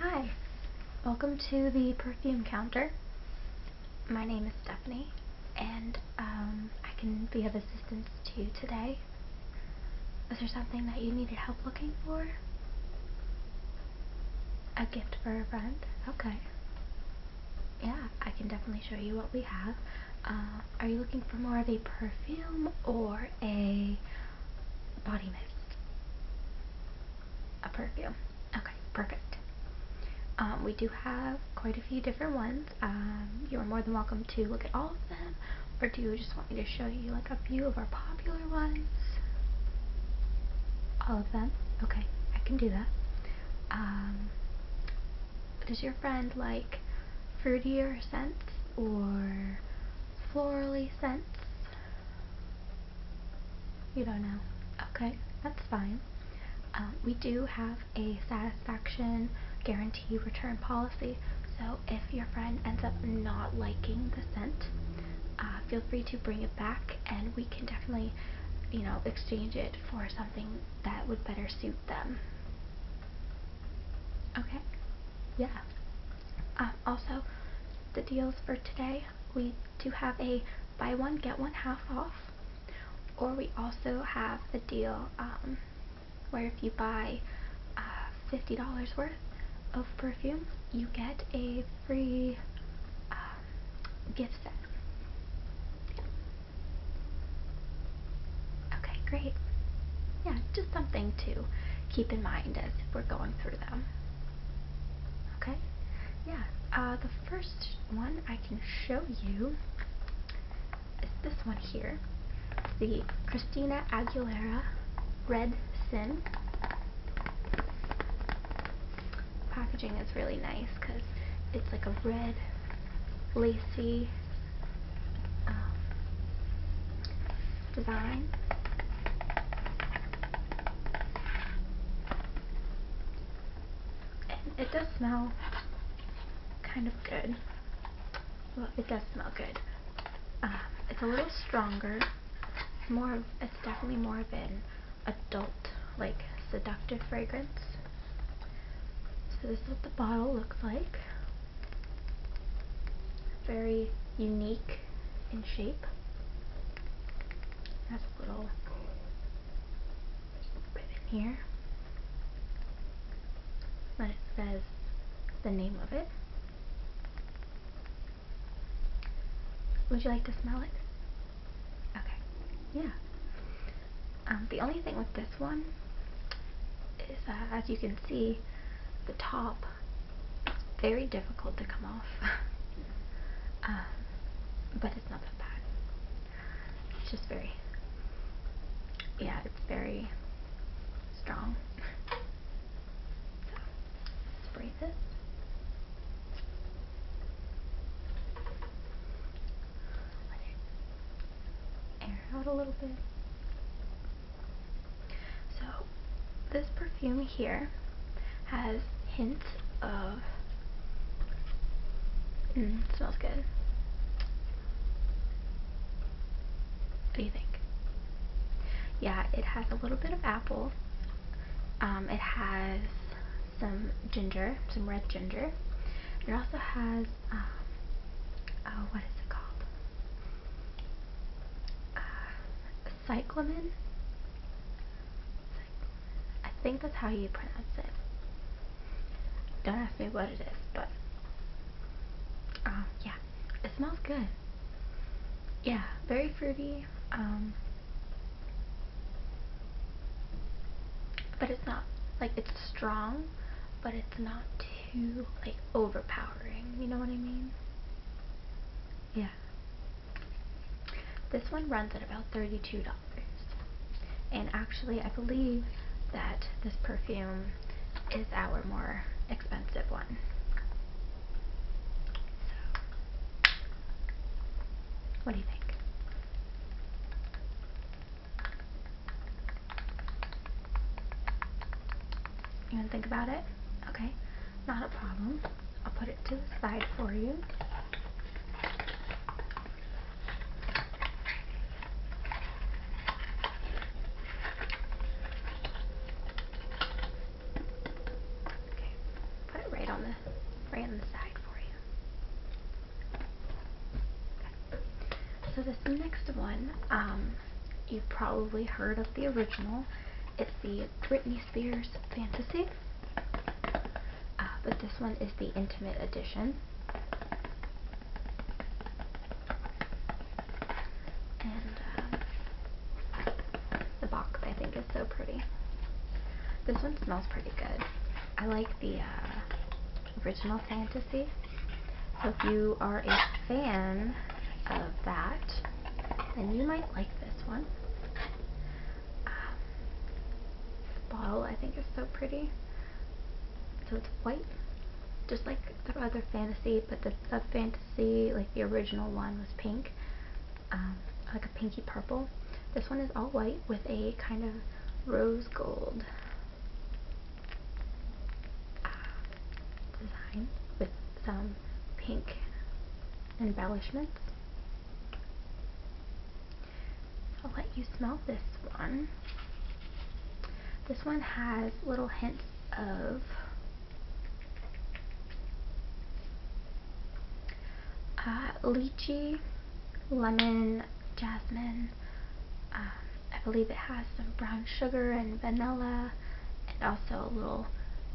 Hi, welcome to the perfume counter. My name is Stephanie, and um, I can be of assistance to you today. Is there something that you needed help looking for? A gift for a friend? Okay. Yeah, I can definitely show you what we have. Uh, are you looking for more of a perfume or a body a perfume. Okay, perfect. Um, we do have quite a few different ones. Um, you're more than welcome to look at all of them, or do you just want me to show you like a few of our popular ones? All of them? Okay, I can do that. Um, does your friend like fruitier scents or florally scents. You don't know. Okay, that's fine. Uh, we do have a satisfaction guarantee return policy, so if your friend ends up not liking the scent, uh, feel free to bring it back and we can definitely, you know, exchange it for something that would better suit them. Okay? Yeah. Um, also, the deals for today, we do have a buy one, get one half off. Or we also have a deal um, where if you buy uh, $50 worth of perfume, you get a free um, gift set. Okay, great. Yeah, just something too keep in mind as we're going through them. Okay? Yeah, uh, the first one I can show you is this one here. the Christina Aguilera Red Sin. Packaging is really nice because it's like a red, lacy, um, design. it does smell kind of good. Well, it does smell good. Um, it's a little stronger. more it's definitely more of an adult, like seductive fragrance. So this is what the bottle looks like. Very unique in shape. That's a little ribbon here. But it says the name of it. Would you like to smell it? Okay. Yeah. Um, the only thing with this one as you can see, the top is very difficult to come off. Um, but it's not that bad. It's just very, yeah, it's very strong. Let's breathe it air out a little bit. So this perfume here has hints of mm, smells good. What do you think? Yeah, it has a little bit of apple. Um, it has some ginger, some red ginger. It also has um, oh, what is it called? Uh, cyclamen. I think that's how you pronounce it. Don't ask me what it is, but um, yeah, it smells good. Yeah, very fruity. Um, but it's not like it's strong, but it's not too like overpowering, you know what I mean? Yeah. This one runs at about $32. And actually, I believe that this perfume is our more expensive one. So, what do you think? You want to think about it? Okay, not a problem. I'll put it to the side for you. Okay, put it right on the right on the side for you. So this next one, um, you've probably heard of the original. It's the Britney Spears Fantasy. Uh, but this one is the Intimate Edition. And uh, the box, I think, is so pretty. This one smells pretty good. I like the uh, original fantasy so if you are a fan of that, then you might like this one. Um, bottle I think is so pretty. So it's white, just like the other fantasy, but the, fantasy, like the original one, was pink, um, like a pinky purple. This one is all white with a kind of rose gold design with some pink embellishments. I'll let you smell this one. This one has little hints of uh, lychee, lemon, jasmine, uh, I believe it has some brown sugar and vanilla and also a little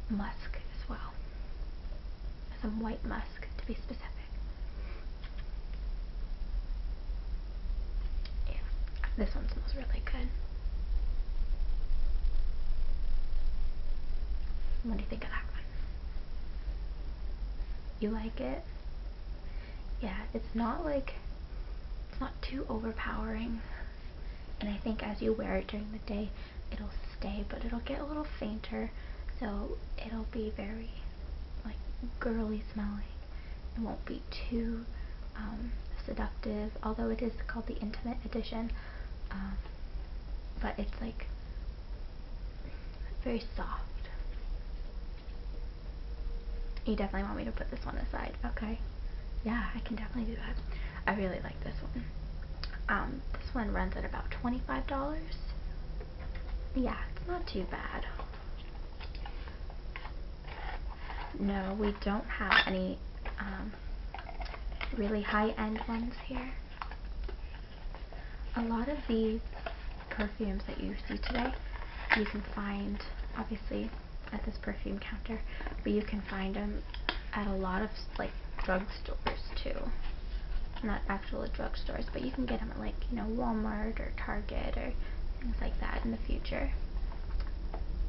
musk as well. Some white musk to be specific. Yeah, this one smells really good. What do you think of that one? You like it? Yeah, it's not like, it's not too overpowering and I think as you wear it during the day it'll stay but it'll get a little fainter so it'll be very like girly smelling it won't be too um, seductive although it is called the intimate edition um, but it's like very soft you definitely want me to put this one aside okay yeah, I can definitely do that. I really like this one. Um, this one runs at about $25. Yeah, it's not too bad. No, we don't have any um, really high-end ones here. A lot of these perfumes that you see today, you can find, obviously, at this perfume counter, but you can find them at a lot of like drugstores too. Not actual drugstores, but you can get them at like you know Walmart or Target or things like that in the future.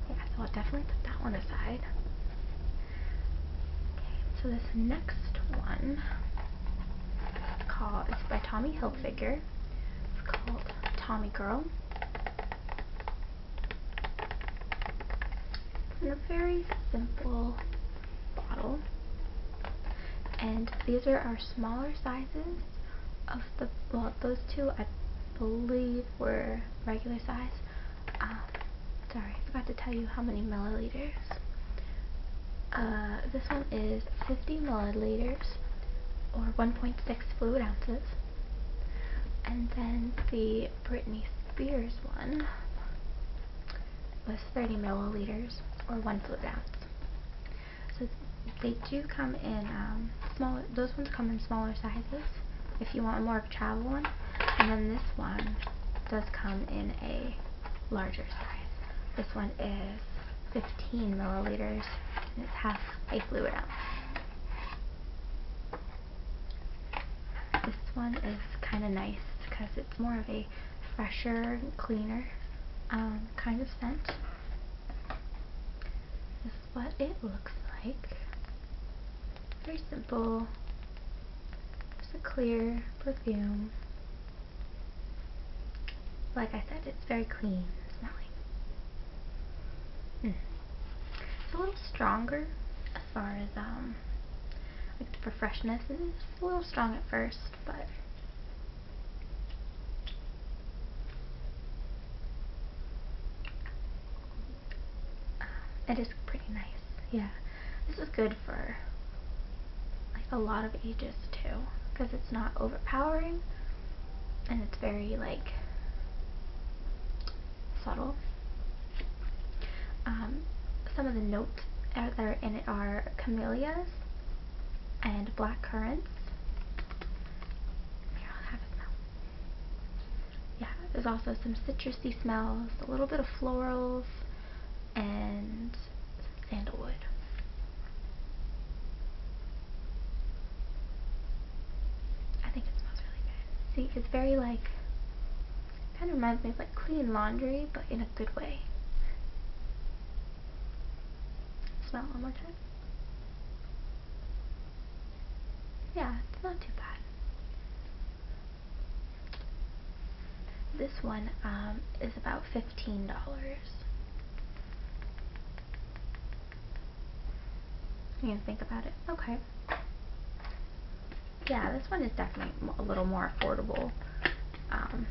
Yeah, so I'll definitely put that one aside. Okay, so this next one called is by Tommy Hilfiger. It's called Tommy Girl in a very simple bottle. And these are our smaller sizes of the, well, those two I believe were regular size. Um, sorry, I forgot to tell you how many milliliters. Uh, this one is 50 milliliters, or 1.6 fluid ounces. And then the Britney Spears one was 30 milliliters or one fluid ounce. So they do come in um, smaller, those ones come in smaller sizes if you want a more travel one. And then this one does come in a larger size. This one is 15 milliliters and it's half a fluid ounce. This one is kind of nice because it's more of a fresher, cleaner um, kind of scent. This is what it looks like. Very simple. Just a clear perfume. Like I said, it's very clean smelling. Hmm. It's a little stronger as far as um like for freshness. It's a little strong at first, but it is pretty nice. Yeah, this is good for like a lot of ages too, because it's not overpowering and it's very like subtle. Um, some of the notes that are in it are camellias and black currants. Yeah, there's also some citrusy smells, a little bit of florals, and sandalwood. I think it smells really good. See, it's very like, kind of reminds me of like clean laundry, but in a good way. Smell one more time. Yeah, it's not too bad. this one um, is about $15. You think about it. Okay. Yeah, this one is definitely a little more affordable. Um,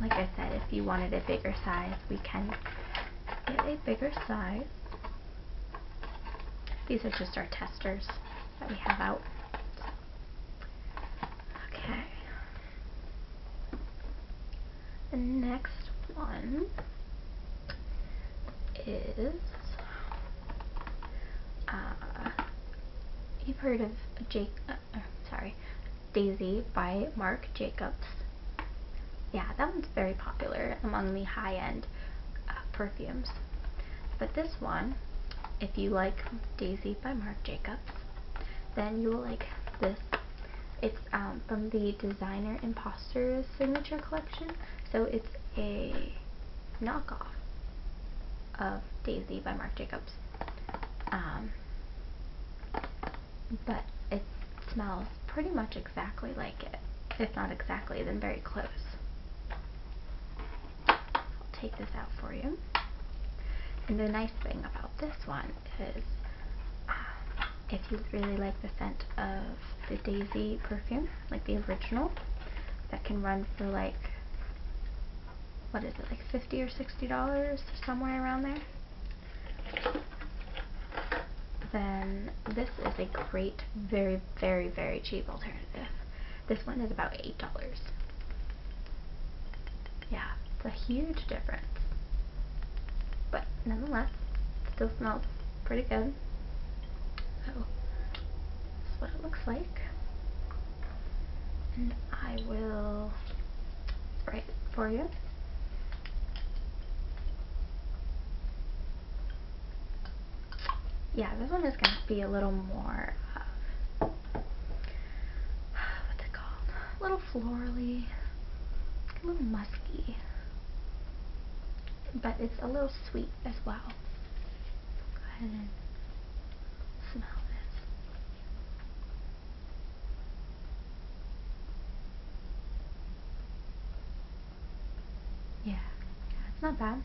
like I said, if you wanted a bigger size, we can get a bigger size. These are just our testers that we have out. Okay. The next one is uh, you've heard of Jake. Uh, uh, sorry, Daisy by Marc Jacobs. Yeah, that one's very popular among the high-end uh, perfumes. But this one, if you like Daisy by Marc Jacobs, then you will like this. It's um, from the Designer Imposters Signature Collection. So it's a knockoff of Daisy by Marc Jacobs. Um, but it smells pretty much exactly like it. If not exactly, then very close. I'll take this out for you. And the nice thing about this one because uh, if you really like the scent of the Daisy perfume, like the original, that can run for like, what is it, like 50 or $60, somewhere around there, then this is a great, very, very, very cheap alternative. This one is about $8. Yeah, it's a huge difference. But nonetheless, still smells pretty good. So, this is what it looks like. And I will write for you. Yeah, this one is going to be a little more of what's it called? A little florally, a little musky, but it's a little sweet as well. Go ahead and smell this. Yeah, it's not bad.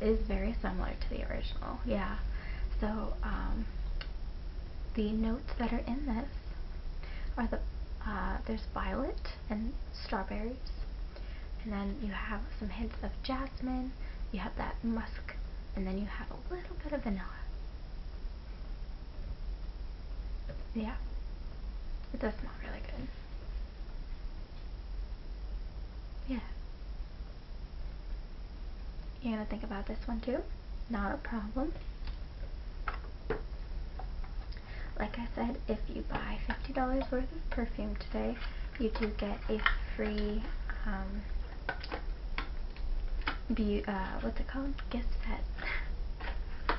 It is very similar to the original, yeah. So, um, the notes that are in this are the uh, there's violet and strawberries, and then you have some hints of jasmine. You have that musk, and then you have a little bit of vanilla. Yeah, it does smell really good. Yeah. You're going to think about this one too? Not a problem. Like I said, if you buy $50 worth of perfume today, you do get a free, um, be uh, what's it called? Gift set.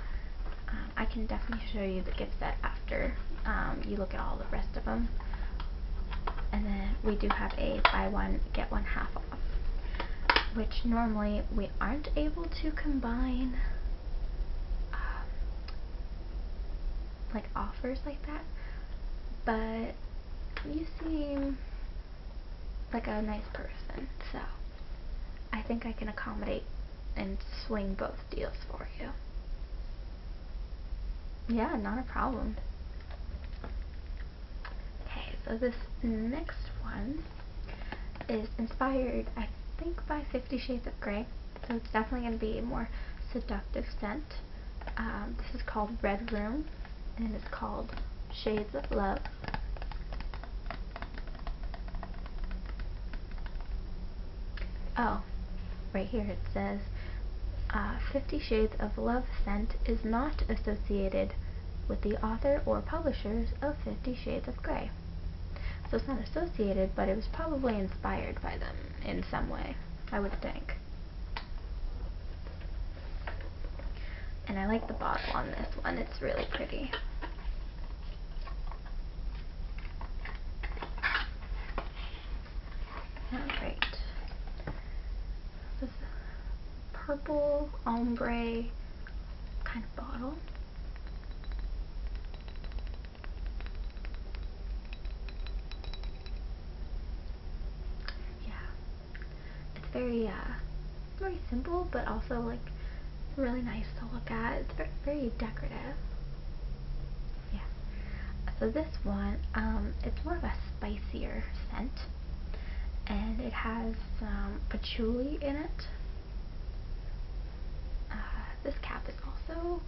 Um, I can definitely show you the gift set after um, you look at all the rest of them. And then we do have a buy one, get one half which normally we aren't able to combine um, like offers like that but you seem like a nice person so I think I can accommodate and swing both deals for you yeah not a problem Okay, so this next one is inspired, I think, by Fifty Shades of Grey. So it's definitely going to be a more seductive scent. Um, this is called Red Room, and it's called Shades of Love. Oh, right here it says uh, 50 Shades of Love scent is not associated with the author or publishers of Fifty Shades of Grey. So it's not associated, but it was probably inspired by them in some way, I would think. And I like the bottle on this one, it's really pretty. Alright purple ombre kind of bottle. Yeah. It's very, uh, very simple, but also, like, really nice to look at. It's very, very decorative. Yeah. So this one, um, it's more of a spicier scent. And it has patchouli in it. Uh, this cap is also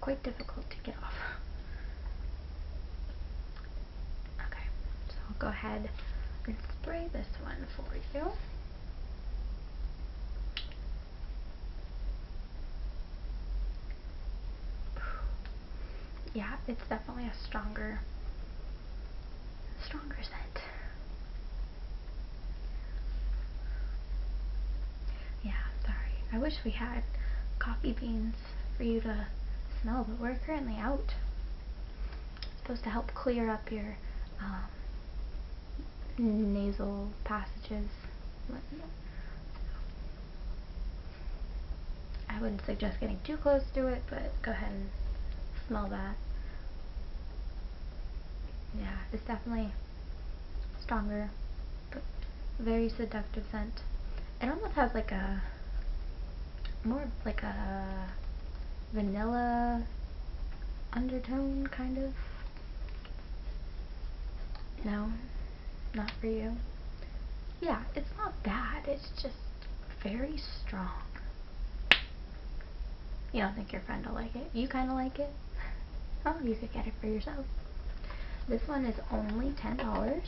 quite difficult to get off. Okay, so I'll go ahead and spray this one for you yeah, it's definitely a stronger, stronger scent. Yeah, sorry. I wish we had coffee beans for you to smell, but we're currently out. It's supposed to help clear up your um, nasal passages. I wouldn't suggest getting too close to it, but go ahead and smell that. Yeah, it's definitely stronger, but very seductive scent. It almost has like a, more like a vanilla undertone, kind of. No, not for you. Yeah, it's not bad, it's just very strong. You don't think your friend will like it? You kind of like it? Oh, you could get it for yourself. This one is only $10.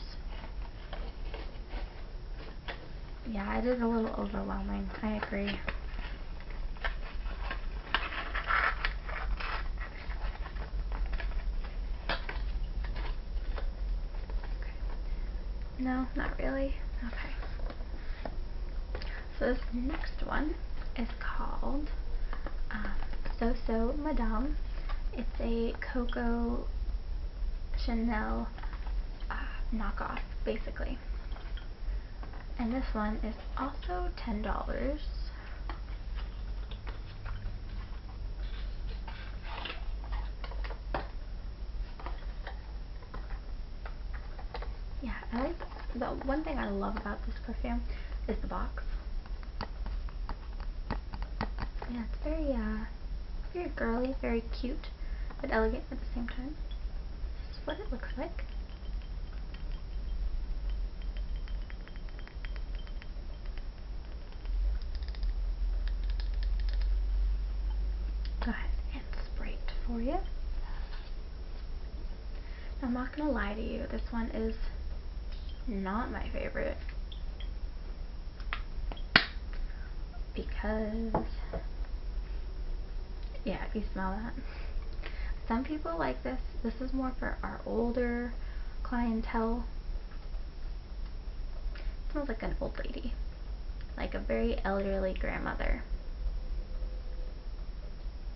Yeah, it is a little overwhelming. I agree. No, not really. Okay. So this next one is called um, So So Madame. It's a Coco Chanel uh, knockoff, basically. And this one is also $10. Yeah, I like the one thing I love about this perfume is the box. Yeah, it's very uh very girly, very cute, but elegant at the same time. This is what it looks like. Go ahead and spray it for you. I'm not going to lie to you, this one is not my favorite. Because, yeah, you smell that. Some people like this. This is more for our older clientele. Smells like an old lady. Like a very elderly grandmother.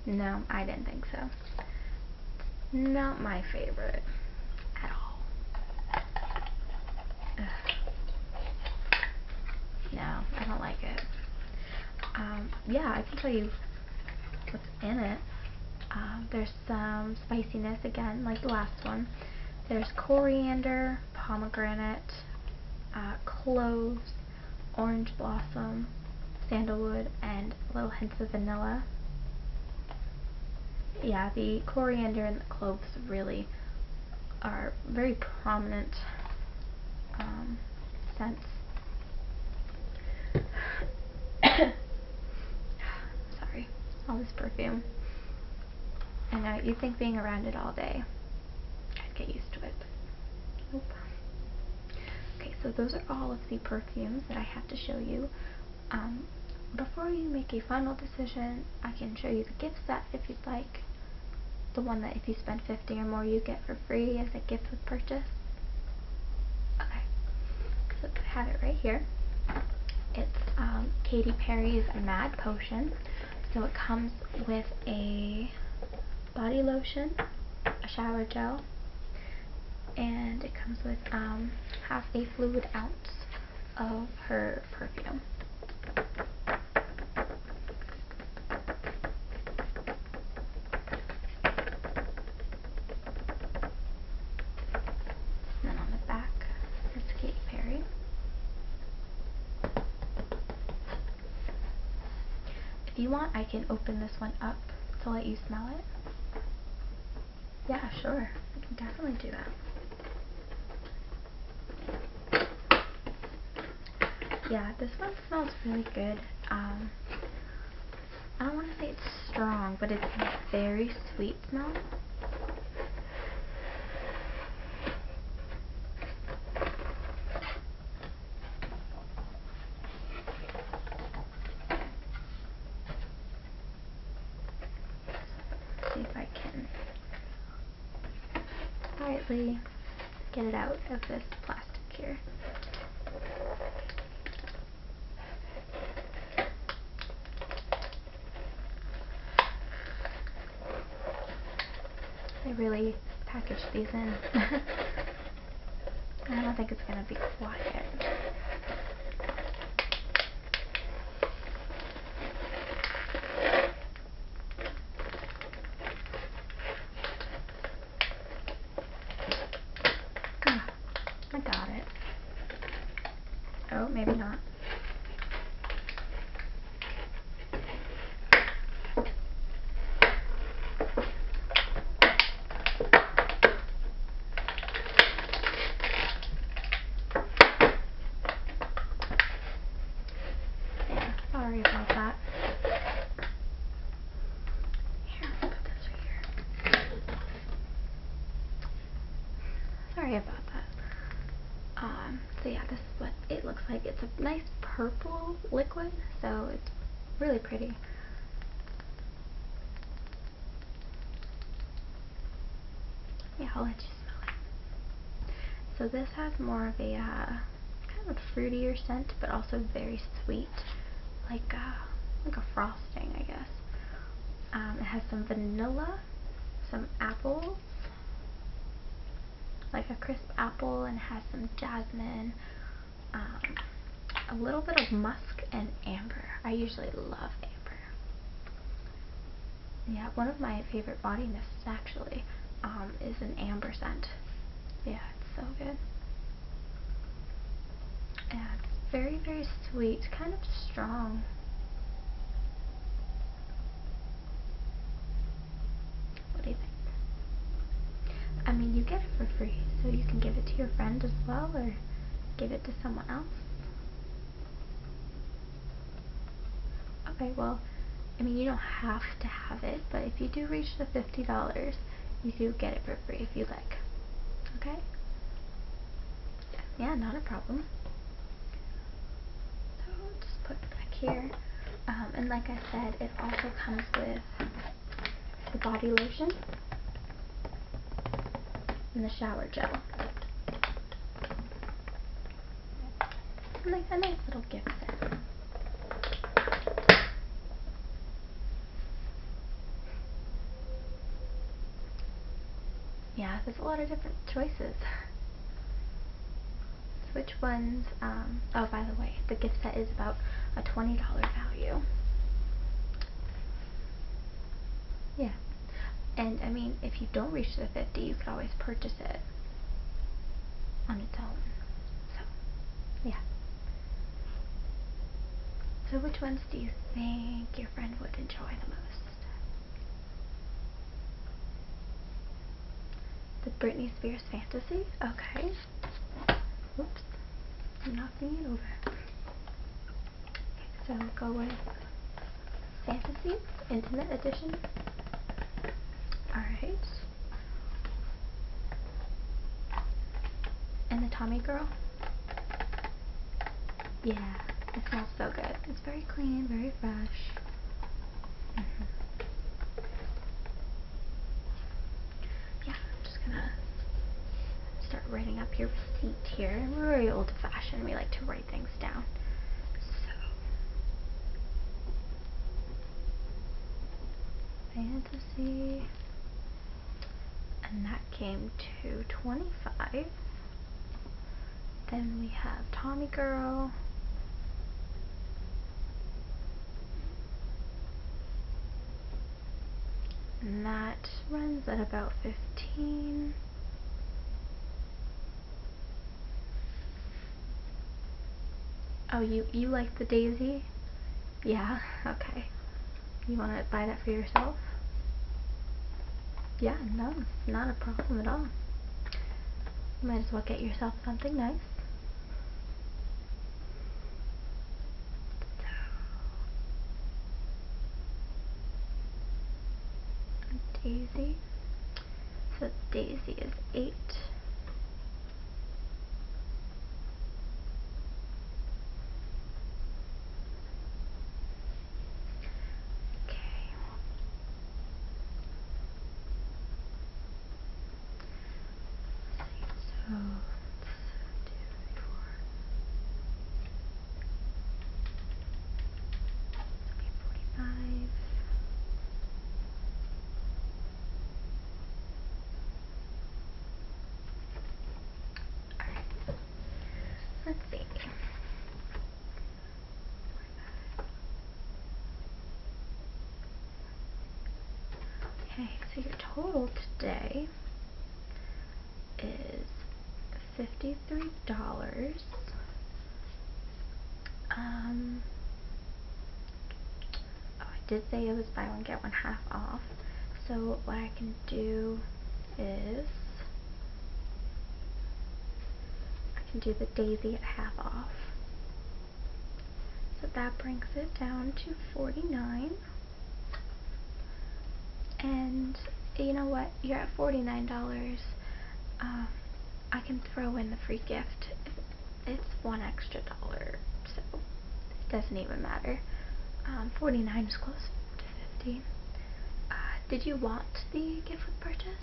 No, I didn't think so. Not my favorite at all. No, I don't like it. Um, yeah, I can tell you what's in it. Um, there's some spiciness again, like the last one. There's coriander, pomegranate, uh, cloves, orange blossom, sandalwood, and little hints of vanilla. Yeah, the coriander and the cloves really are very prominent um, scents. Sorry, perfume. I know you think being around it all day, I'd get used to it. Okay, so those are all of the perfumes that I have to show you. Um, before you make a final decision, I can show you the gift set if you'd like. The one that if you spend 50 or more you get for free as a gift with purchase. Okay, so I have it right here. It's um, Katy Perry's Mad Potion. So it comes with a body lotion, a shower gel, and it comes with um, half a fluid ounce of her perfume. And then on the back it's Katy Perry. If you want, I can open this one up to let you smell it. Yeah, sure. I can definitely do that. Yeah, this one smells really good. Um, I don't want to say it's strong, but it's very sweet sweet smell. See if I can quietly get it out of this plastic here. They really packaged these in. I don't think it's going to be quiet. Ah. I got it. Oh, maybe not. Yeah, sorry about that. Here, put this right here. Sorry about that. Um, so yeah, this is what it looks like. It's a nice purple liquid, so it's really pretty. Yeah, I'll let you smell it. So this has more of a uh, kind of a fruitier scent, but also very sweet, like uh, like a frosting, I guess. Um, it has some vanilla, some apples, like a crisp apple, and has some jasmine, um, a little bit of musk, and amber. I usually love amber. Yeah, one of my favorite body mists actually um, is an amber scent. Yeah, it's so good. Yeah, it's very, very sweet, kind of strong. What do you think? I mean, you get it for free, so you can give it to your friend as well, or give it to someone else. Okay, well, I mean, you don't have to have it, but if you do reach the $50, you do get it for free if you like. Okay? Yeah, not a problem. So just put back here. Um, and like I said, it also comes with the body lotion and the shower gel. Like a nice little gift set yeah, there's a lot of different choices. Which ones, um, oh, by the way, the gift set is about a $20 value. Yeah. And, I mean, if you don't reach the 50 you could always purchase it on its own. So, yeah. So which ones do you think you're friend would enjoy the most. The Britney Spears Fantasy? Okay. Whoops. knocking it over. So go with Fantasy, Intimate Edition. Alright. And the Tommy Girl. Yeah, it smells so good. It's very clean, very fresh. Mm-hmm. Yeah, I'm just gonna start writing up your receipt here. We're very old fashioned, we like to write things down. So, fantasy and that came to 25 then we have Tommy Girl that runs at about 15 oh you you like the daisy yeah okay you want to buy that for yourself? Yeah, no, not a problem at all. You might as well get yourself something nice. Daisy. So Daisy is eight. Okay. Let's see. So let's do it for okay, forty-five. All right. Let's see. Okay, so your total today is $53. Um, oh, I did say it was buy one, get one half off. So what I can do is I can do the daisy at half off. So that brings it down to 49. And you know what? You're at $49. Um, I can throw in the free gift. It's one extra dollar, so it doesn't even matter. Um, 49 is close to 15. Uh, did you want the gift with purchase?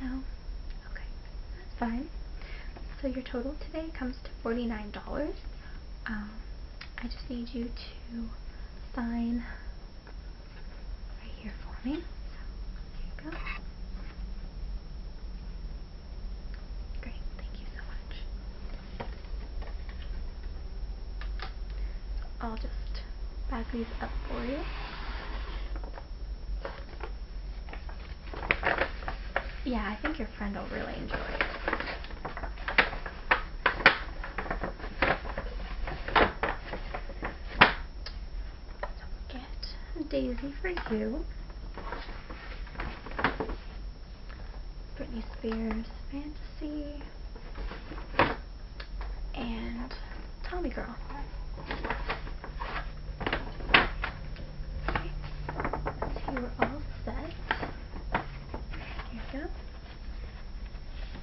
No? Okay, that's fine. So your total today comes to $49. Um, I just need you to sign right here for me. here you go. Great, thank you so much. I'll just bag these up for you. Yeah, I think your friend will really enjoy it. So we get Daisy for you. Britney Spears Fantasy and Tommy Girl. Okay. we're all set. Here we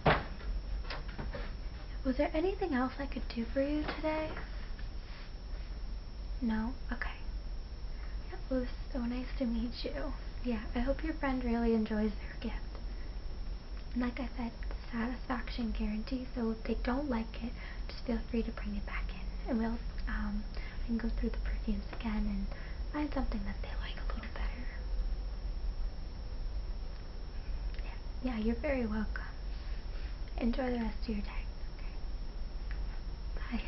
go. Was there anything else I could do for you today? No? Okay. Okay. It was so nice to meet you. Yeah, I hope your friend really enjoys their gift. And Like I said, satisfaction guarantee, so if they don't like it, just feel free to bring it back in. And we'll, um, I can go through the perfumes again and find something that they like a little better. Yeah, yeah you're very welcome. Enjoy the rest of your day. Okay. Bye.